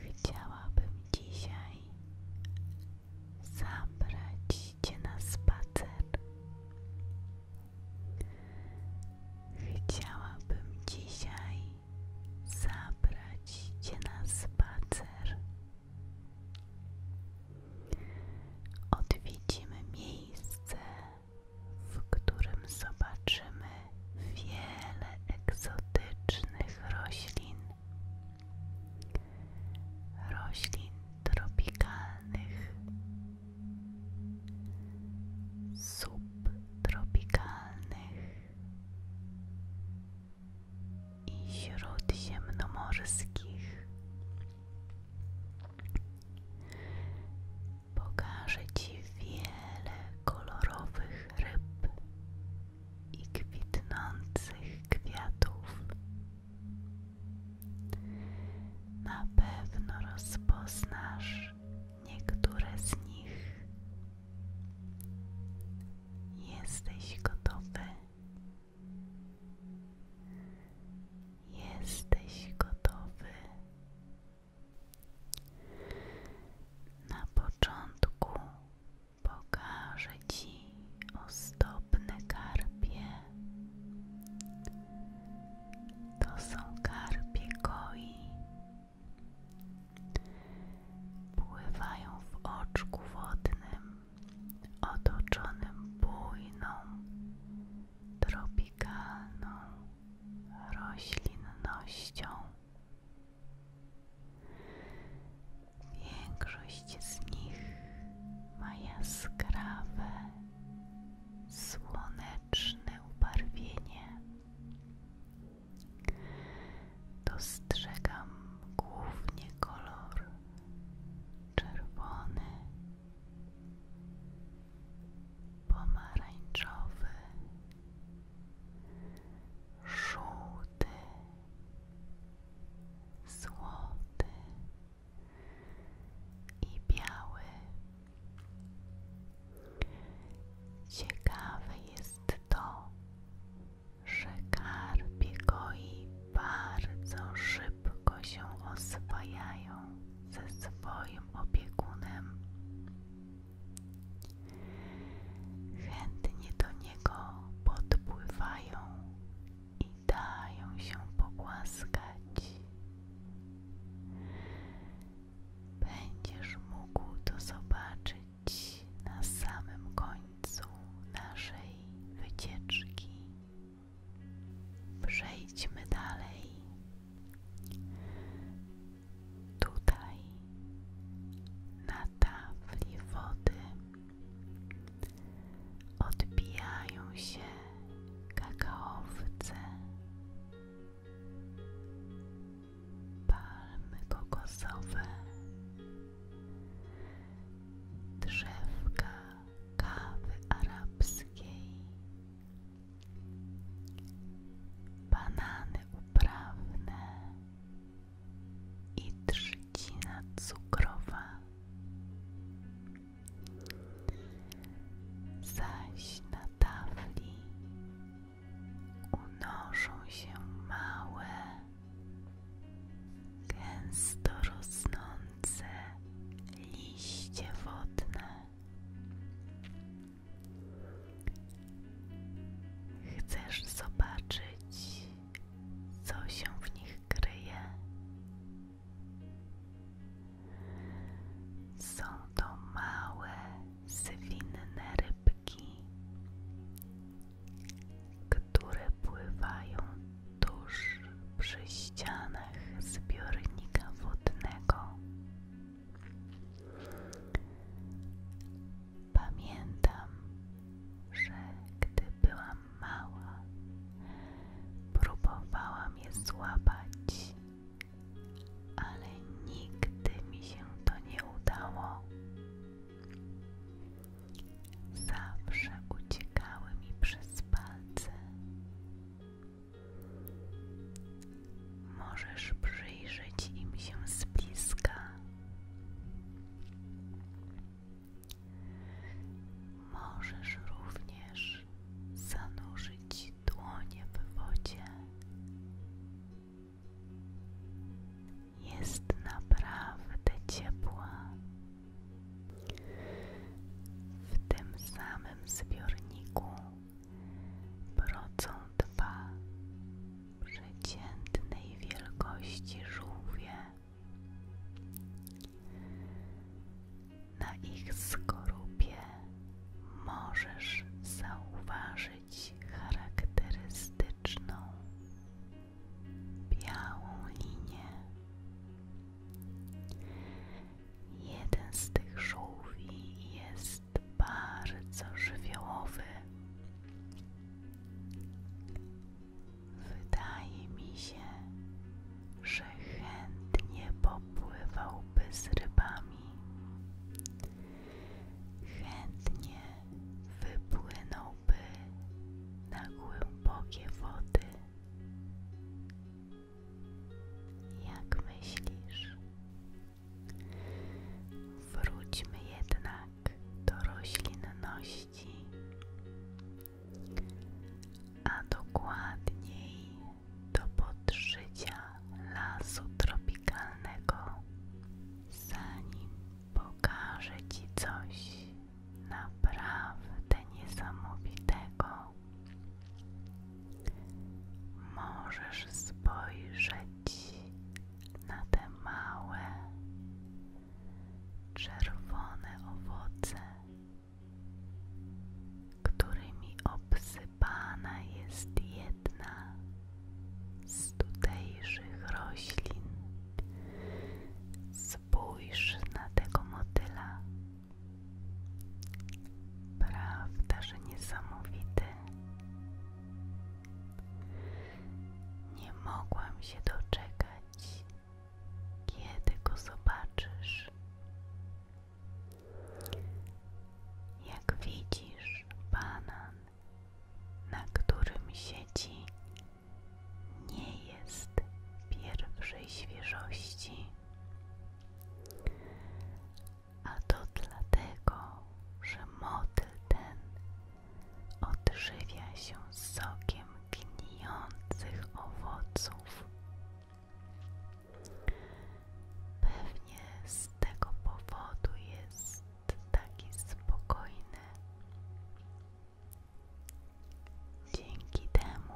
Chciałabym dzisiaj zabrać Cię na spacer. Chciałabym dzisiaj zabrać Cię na spacer. Odwiedzimy miejsce, w którym zobaczymy wiele egzotycznych roślin, roślin tropikalnych, subtropikalnych i śródziemnomorskich. Pokażę Ci wiele kolorowych ryb i kwitnących kwiatów. Na pewno rozpoznasz niektóre z nich. Jesteś gotowy. Jesteś gotowy na początku pokażę Ci ozdobne karpie. To są karpie koi. Pływają w oczku wodnym, otoczonym bujną, tropikalną roślinnością. Większość z nich ma jaskrawe, słoneczne ubarwienie. Dostrzegam głównie kolor czerwony, pomarańczowy, żółty, złoty i biały. Ciekawe jest to, że karpie i bardzo szybko się oswajają ze swoim opiekunem. Chętnie do niego podpływają i dają się pogłaskać. Będziesz mógł to zobaczyć na samym końcu naszej wycieczki. Przejdźmy dalej. Tutaj na tafli wody odbijają się kakaowce, palmy kokosowe, drzewka kawy arabskiej banany uprawne i trzcina cukrowa. Zaś na tafli unoszą się małe, gęsto rosnące liście wodne. Chcesz zobaczyć, co się w nich kryje? Są to małe, zwinne rybki, które pływają tuż przy ścianach zbiornika wodnego. Pamiętam, że gdy byłam mała, próbowałam je złapać, ale nigdy mi się to nie udało. Zawsze uciekały mi przez palce. Możesz przyjrzeć im się z bliska. Możesz również zanurzyć dłonie w wodzie. Jest naprawdę ciepła w tym samym zbiorniku brocą dwa przeciętnej wielkości żółwie. Na ich skorupie możesz zauważyć charakterystyczną białą linię. Jeden z tych żółwi jest bardzo żywiołowy. Wydaje mi się, że chętnie popływałby z rybami. Chętnie wypłynąłby na głębokie wody. Jak myślisz? Wróćmy jednak do roślinności, a dokładniej do podżycia lasu tropikalnego, zanim pokażę Ci coś naprawdę niesamowitego. Możesz spojrzeć na te małe, czerwone owoce, którymi obsypana jest jedna z tutejszych roślin. Spójrz na tego motyla, Prawda, że niesamowity. Nie mogłam się doczekać, kiedy go zobaczysz. Jak widzisz banan, na którym siedzi nie jest pierwszej świeżości, a to dlatego, że motyl ten odżywia się sokiem gniących owoców. Pewnie z tego powodu jest taki spokojny. Dzięki temu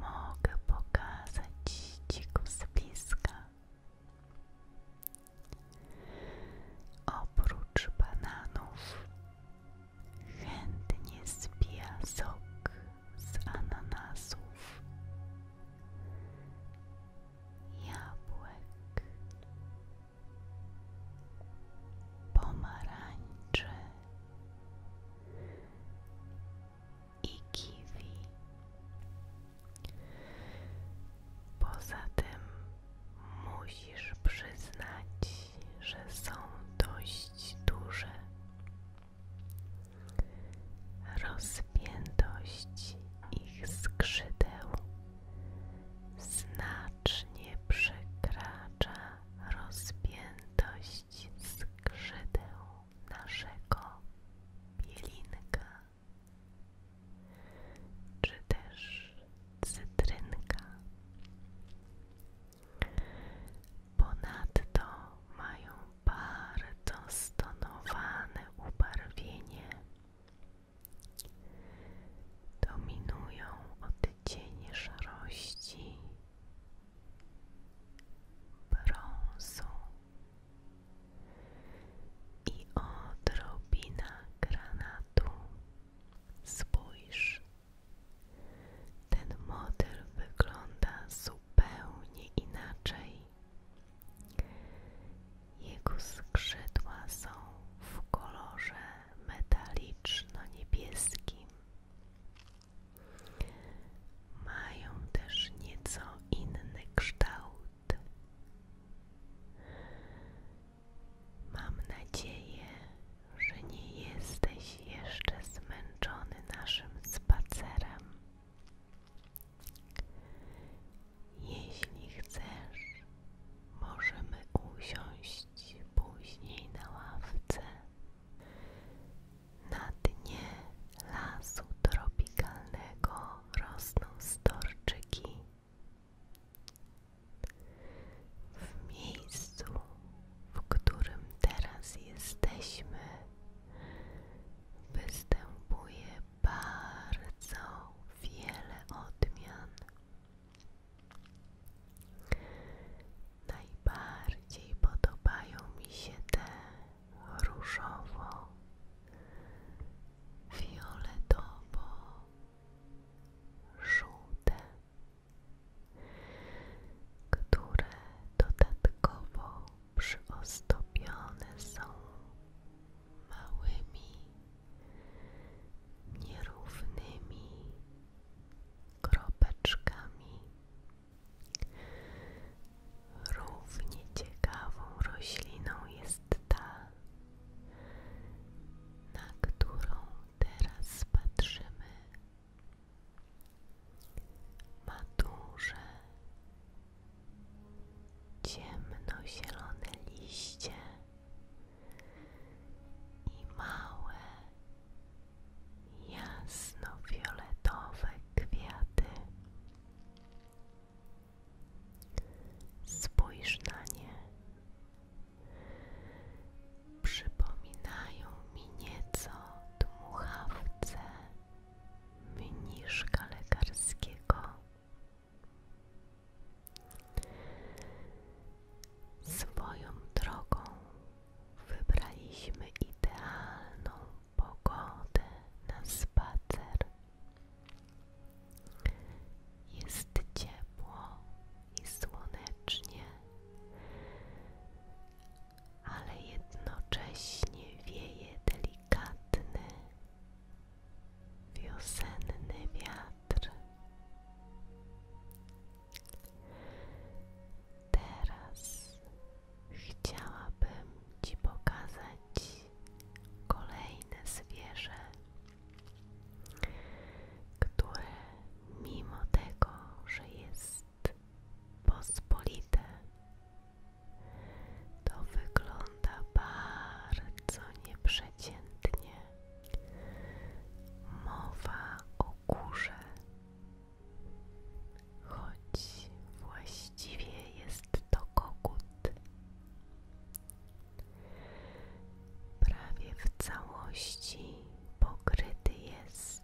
mogę pokazać Ci go z Oprócz bananów chętnie spija sok z ananasów, jabłek, pomarańczy i kiwi. Poza tym musisz przyznać, że są dość duże. Rozpiętość ich skrzydeł znacznie przekracza rozpiętość skrzydeł naszego bielinka, czy też cytrynka. Ponadto mają bardzo stonowane ubarwienie dominują odcienie szarości, brązu i odrobina granatu. Spójrz, ten model wygląda zupełnie inaczej. Jego skrzydła są w kolorze metaliczno-niebieskim. Mają też nieco inny kształt. Mam nadzieję, że nie jesteś jeszcze zmęczony naszym spacerem. Jeśli chcesz, Możemy usiąść później na ławce na dnie lasu tropikalnego rosną storczyki. W miejscu, w którym teraz jesteśmy, występuje bardzo wiele odmian Najbardziej podobają mi się te różowo, fioletowo, żółte, które dodatkowo przyozdobione są małymi nierównymi kropeczkami równie ciekawą rośliną jest ta, na którą teraz patrzymy. Ma duże, ciemnozielone liście i małe, jasnofioletowe kwiaty. Spójrz na nie. Przypominają mi nieco dmuchawce mniszka lekarskiego. Swoją drogą wybraliśmy idealną pogodę na spacer. Jest ciepło i słonecznie, ale jednocześnie wieje delikatny, wiosenny wiatr. Teraz chciałabym Ci pokazać kolejne zwierzę, które mimo tego, że jest pospolite, to wygląda bardzo nieprzeciętnie. Mowa o górze, choć właściwie jest to kogut. Prawie w całości pokryty jest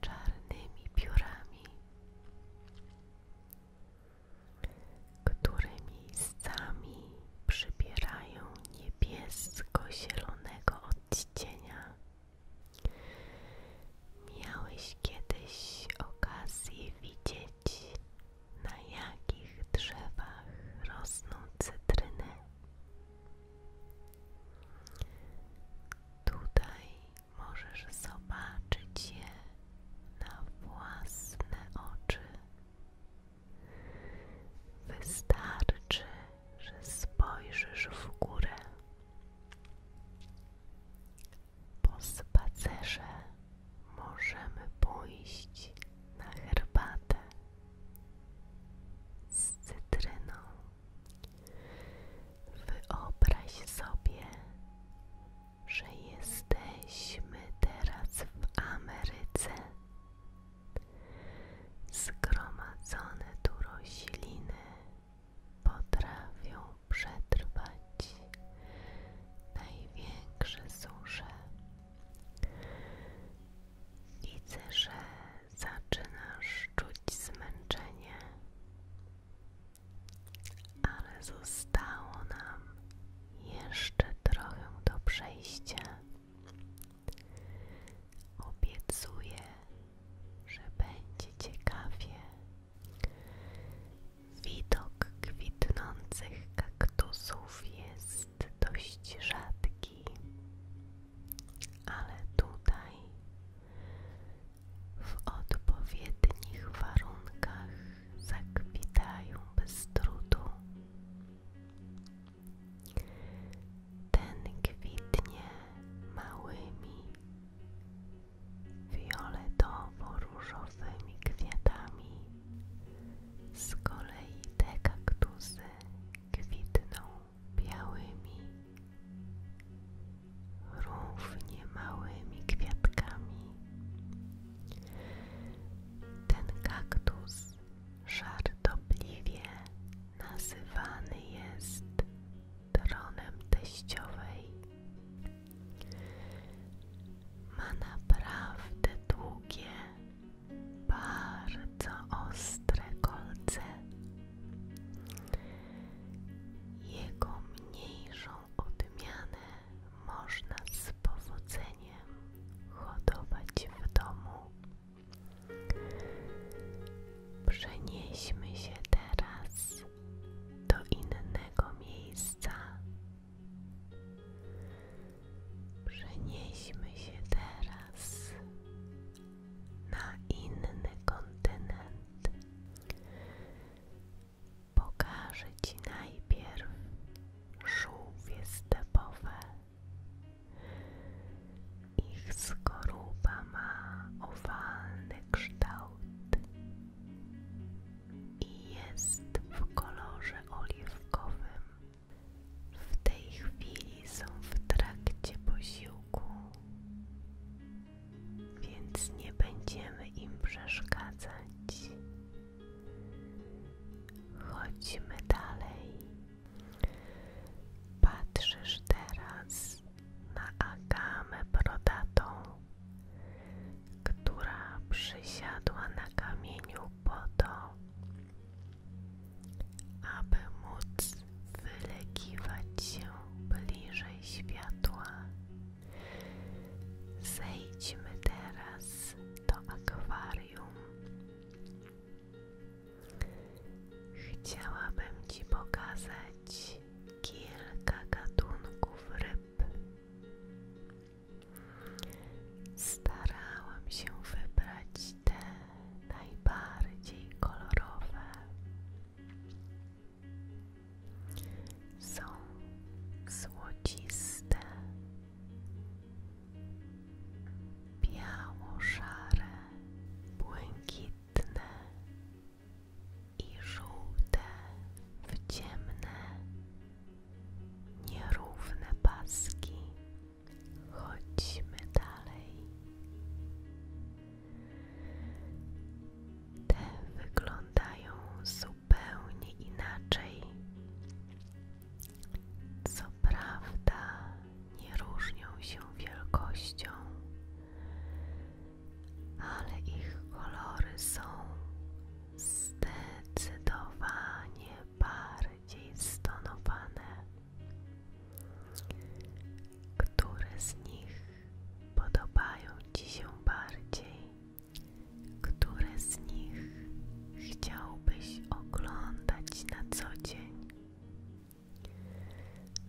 czarnymi piórami które miejscami przybierają niebiesko-zielonego odcienia. Miałeś kiedyś okazję widzieć, na jakich drzewach rosną cytryny? Tutaj możesz zobaczyć je na własne oczy. Wystarczy, że spojrzysz w górę. Po spacerze możemy pójść na herbatę z cytryną. Wyobraź sobie że jesteśmy teraz w Ameryce. Zgromadzone tu rośliny potrafią przetrwać największe susze. Widzę, że zaczynasz czuć zmęczenie, ale zostało nam jeszcze trochę do przejścia. Obiecuję, że będzie ciekawie. Widok kwitnących kaktusów jest dość rzadki, ale tutaj w odpowiednich warunkach zakwitają bez trudu. Ten kwitnie małymi, fioletowo-różowymi kwiatami, z kolei te kaktusy kwitną białymi, równie małymi kwiatkami. Ten kaktus żartobliwie nazywany jest tronem teściowej. Ma naprawdę długie, bardzo ostre kolce. Jego mniejszą odmianę można z powodzeniem hodować w domu. Przenieśmy się teraz do innego miejsca. Przenieśmy się teraz na inny kontynent. Pokażę Ci najpierw żółwie stepowe. Ich skorupa ma owalny kształt i jest w kolorze oliwkowym. W tej chwili są w trakcie posiłku, więc nie będziemy im przeszkadzać. Chodźmy dalej. Patrzysz teraz na agamę brodatą, która przysiadła na kamieniu po to, aby móc wylegiwać się bliżej światła Zejdźmy teraz do akwarium. Chciałabym Ci pokazać kilka gatunków ryb. Starałam się wybrać te najbardziej kolorowe. Są złociste, biało błękitne i żółte w ciemne, nierówne paski. Chodźmy dalej. Te wyglądają zupełnie zupełnie inaczej. Co prawda, nie różnią się wielkością, ale ich kolory są zdecydowanie bardziej stonowane. Które z nich podobają Ci się bardziej? Które z nich chciałbyś oglądać na co dzień?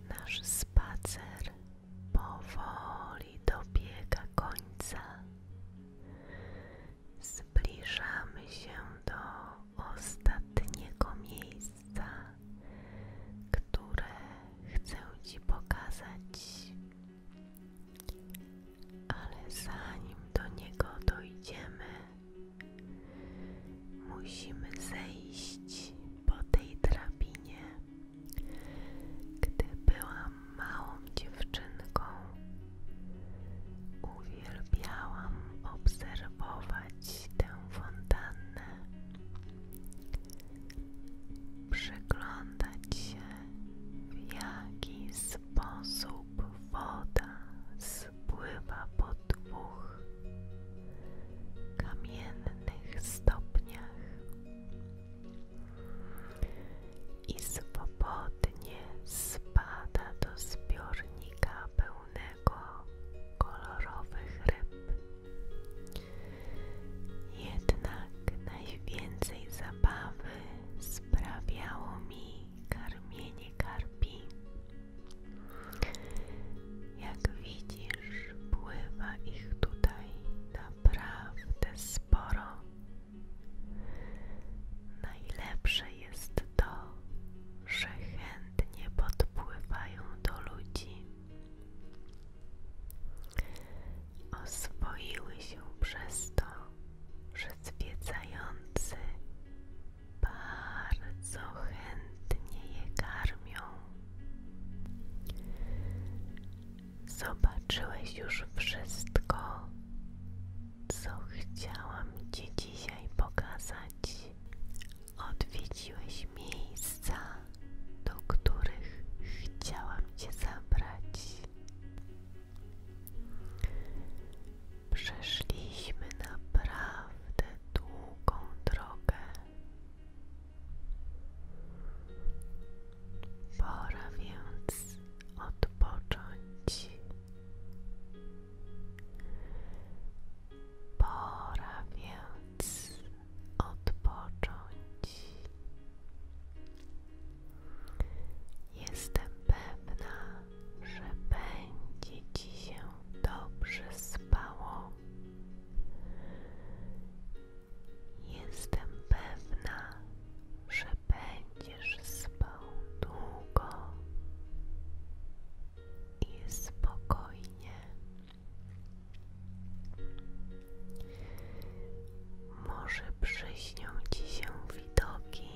Nasz spacer powoli dobiega końca. Zbliżamy się do ostatniego miejsca, które chcę Ci pokazać ale zanim do niego dojdziemy, musimy zejść po tej drabinie. Gdy byłam małą dziewczynką, uwielbiałam obserwować tę fontannę przyglądać się, w jaki sposób woda spływa po dwóch kamiennych stopniach i swobodnie spada do zbiornika pełnego kolorowych ryb. Jednak najwięcej zabawy sprawiało mi karmienie karpi. Jak widzisz, pływa ich tutaj naprawdę sporo. Najlepsze jest to, że chętnie podpływają do ludzi. Oswoiły się przez to, że zwiedzający bardzo chętnie je karmią. Zobaczyłeś już wszystko, co chciałam Ci dzisiaj pokazać. Odwiedziłeś miejsca, do których chciałam Cię zabrać. Przeszliśmy naprawdę długą drogę. Pora więc odpocząć. Pora więc odpocząć. Jestem pewna, że będzie Ci się dobrze spało. Jestem pewna, że będziesz spał długo i spokojnie. Może przyśnią ci się widoki,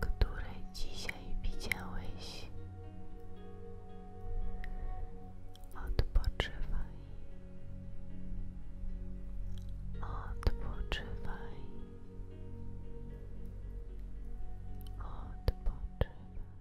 które dzisiaj widziałeś. Odpoczywaj. Odpoczywaj. Odpoczywaj.